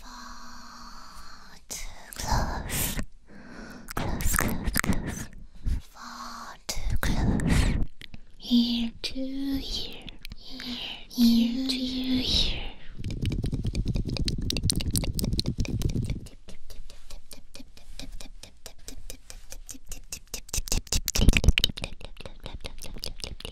Far too close. Close, close, close. Far too close. Ear to ear. Ear to ear.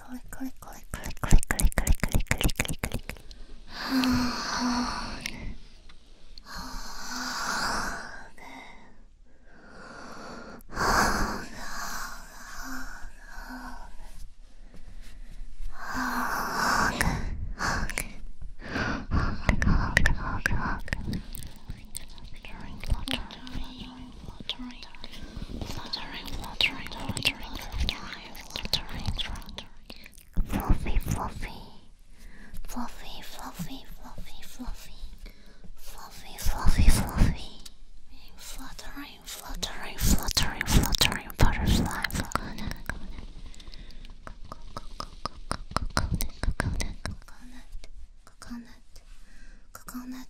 click, click, click, click, click, click, click, click, click, click, click. Fluttering, fluttering, fluttering, fluttering, fluttering, Fluttering, fluttering, fluttering, fluttering, watering, watering, fluffy, fluffy, fluffy, fluffy, fluffy, fluffy, fluffy, fluffy, fluffy, fluttering, fluttering, fluttering, fluttering, butterfly, coconut, coconut, coconut, coconut, coconut, coconut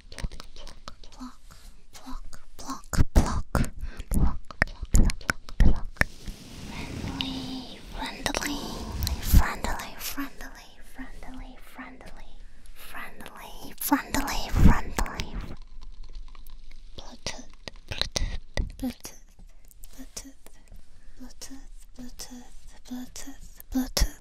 Pluck, pluck, pluck, pluck, pluck, pluck, pluck. Friendly, friendly, friendly, friendly, friendly, friendly, friendly, friendly, friendly. Bluetooth, Bluetooth, Bluetooth, Bluetooth, Bluetooth, Bluetooth, Bluetooth, Bluetooth.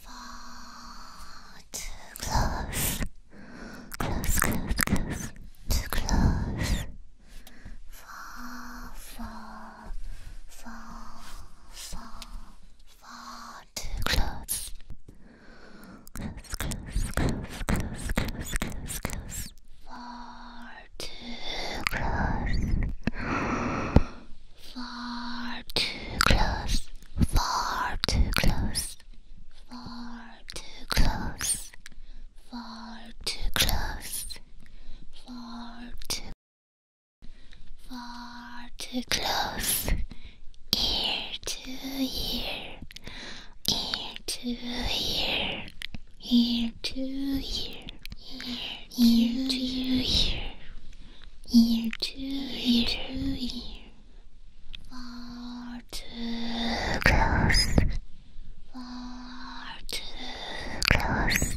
Far too close. Close, close, close. Too close. Far, far, far, far, far too close. Close, close, close, close, close, close, close. Far too close. Far too close. Far too close far too close, far too close, far too, far too close, ear to ear, ear to ear, ear to ear, ear to ear, ear to ear, ear to ear. Far too close. Far too close.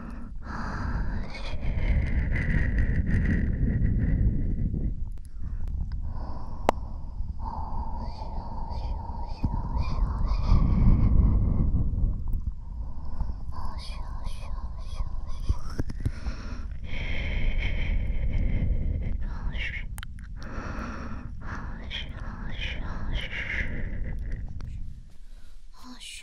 好嘘，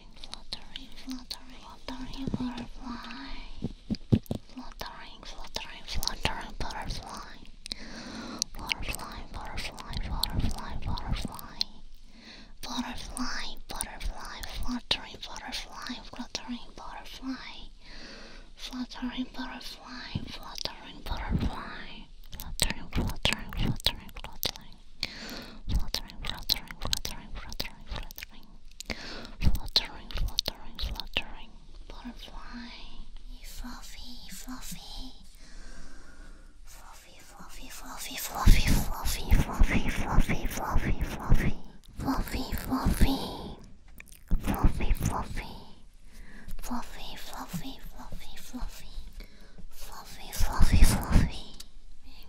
fluttering, fluttering, fluttering butterfly. Fluttering, fluttering, fluttering butterfly. Butterfly, butterfly, butterfly, butterfly. Butterfly, butterfly, fluttering, butterfly, fluttering, butterfly. Fluttering, butterfly, fluttering, butterfly. Fluttering, fluttering, fluttering, fluttering fluttering, fluttering, fluttering, fluttering, fluttering, fluttering, fluttering, fluttering. Butterfly, fluffy, fluffy, fluffy, fluffy, fluffy, fluffy, fluffy, fluffy, fluffy, fluffy, fluffy, fluffy, fluffy, fluffy, fluffy. Fluffy, fluffy, fluffy, fluffy, fluffy, fluffy, fluffy,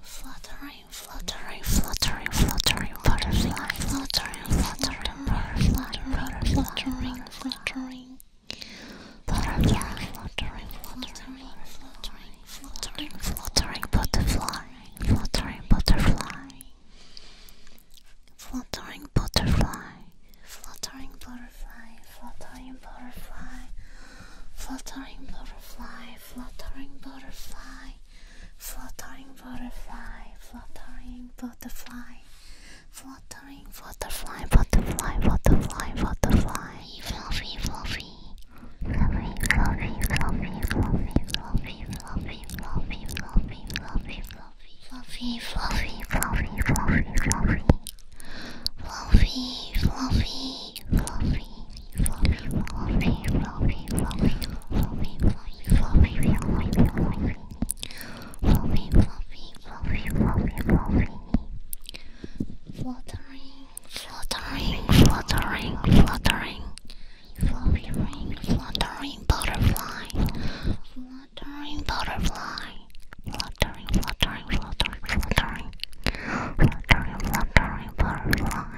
fluttering, fluttering, fluttering, fluttering, fluttering, butterfly, fluttering, fluttering, butterfly, fluttering, fluttering, butterfly, fluttering, fluttering, fluttering, fluttering, fluttering, butterfly, fluttering, butterfly, fluttering, butterfly, fluttering, butterfly, fluttering, butterfly. Fluttering butterfly, fluttering butterfly, fluttering butterfly, fluttering butterfly, fluttering butterfly, butterfly, butterfly, butterfly, fluffy, fluffy, fluffy, fluffy, fluffy, fluffy, fluffy, fluffy, fluffy, fluffy, fluffy, fluffy, fluffy, fluffy, fluffy, fluffy, fluffy. Fluffy, fluffy, fluffy, fluttering, fluttering, fluttering, fluttering, fluttering, fluttering butterfly, fluttering butterfly, fluttering, fluttering, fluttering, fluttering, fluttering, fluttering butterfly.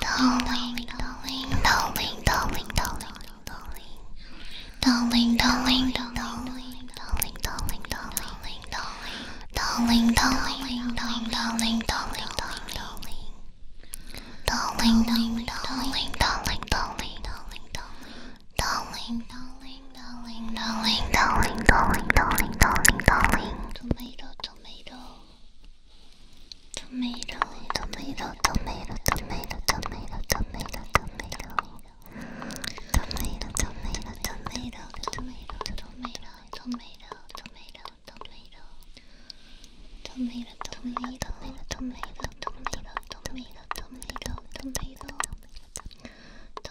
darling, darling, darling, darling, darling, darling, darling, darling, darling, darling, darling, darling, darling, darling, darling, darling, darling, darling. Darling, darling, darling, darling, darling, darling, darling, darling, darling, darling, darling, darling, darling, darling, darling. Tomato, tomato. Tomato, tomato, tomato, tomato, tomato, tomato, tomato. Tomato, tomato, tomato, tomato, tomato, tomato, tomato, tomato. Tomato, tomato, tomato, tomato, tomato, tomato, tomato, tomato. Tomato,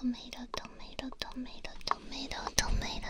tomato, tomato, tomato, tomato, tomato,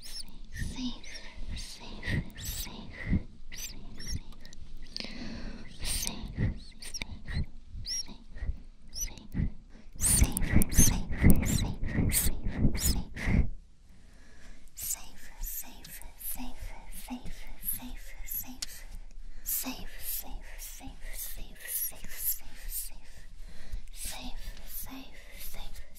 safe, safe, safe, safe, safe, safe, safe, safe, safe. Safe, safe, safe, safe, safe. Safe, safe, safe, safe, safe, safe. Safe, safe, safe, safe, safe, safe, safe. Safe, safe, safe,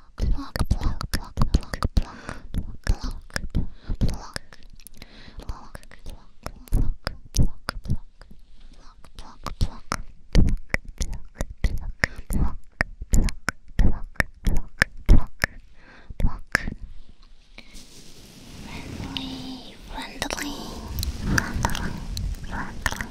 block, block, block, block, block, block, block, block, block, block. Block, block, block, block, block, block, block, block, block, block. Friendly, friendly, friendly, friendly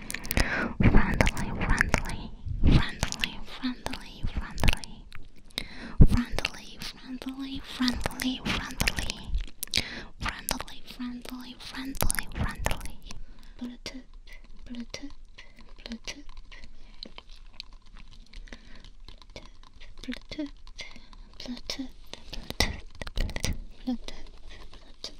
Friendly, friendly, friendly, friendly, friendly. Friendly, friendly, friendly, friendly. Friendly, friendly, friendly, friendly. Bluetooth, Bluetooth, Bluetooth. Bluetooth, Bluetooth, Bluetooth, Bluetooth, Bluetooth, Bluetooth, Bluetooth.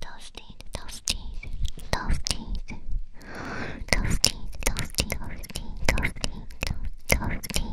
toasted, toasted, toasted, toasted, toasted, toasted, toasted, toasted, toasted,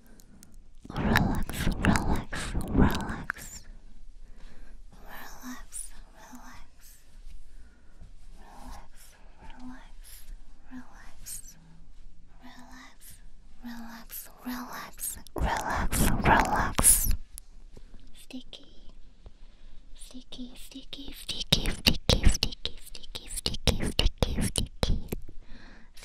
Relax, relax, relax. Relax, relax. Relax, relax, relax. Relax, relax, relax, relax, relax. Sticky, sticky, sticky, sticky, sticky, sticky, sticky, sticky, sticky, sticky, sticky,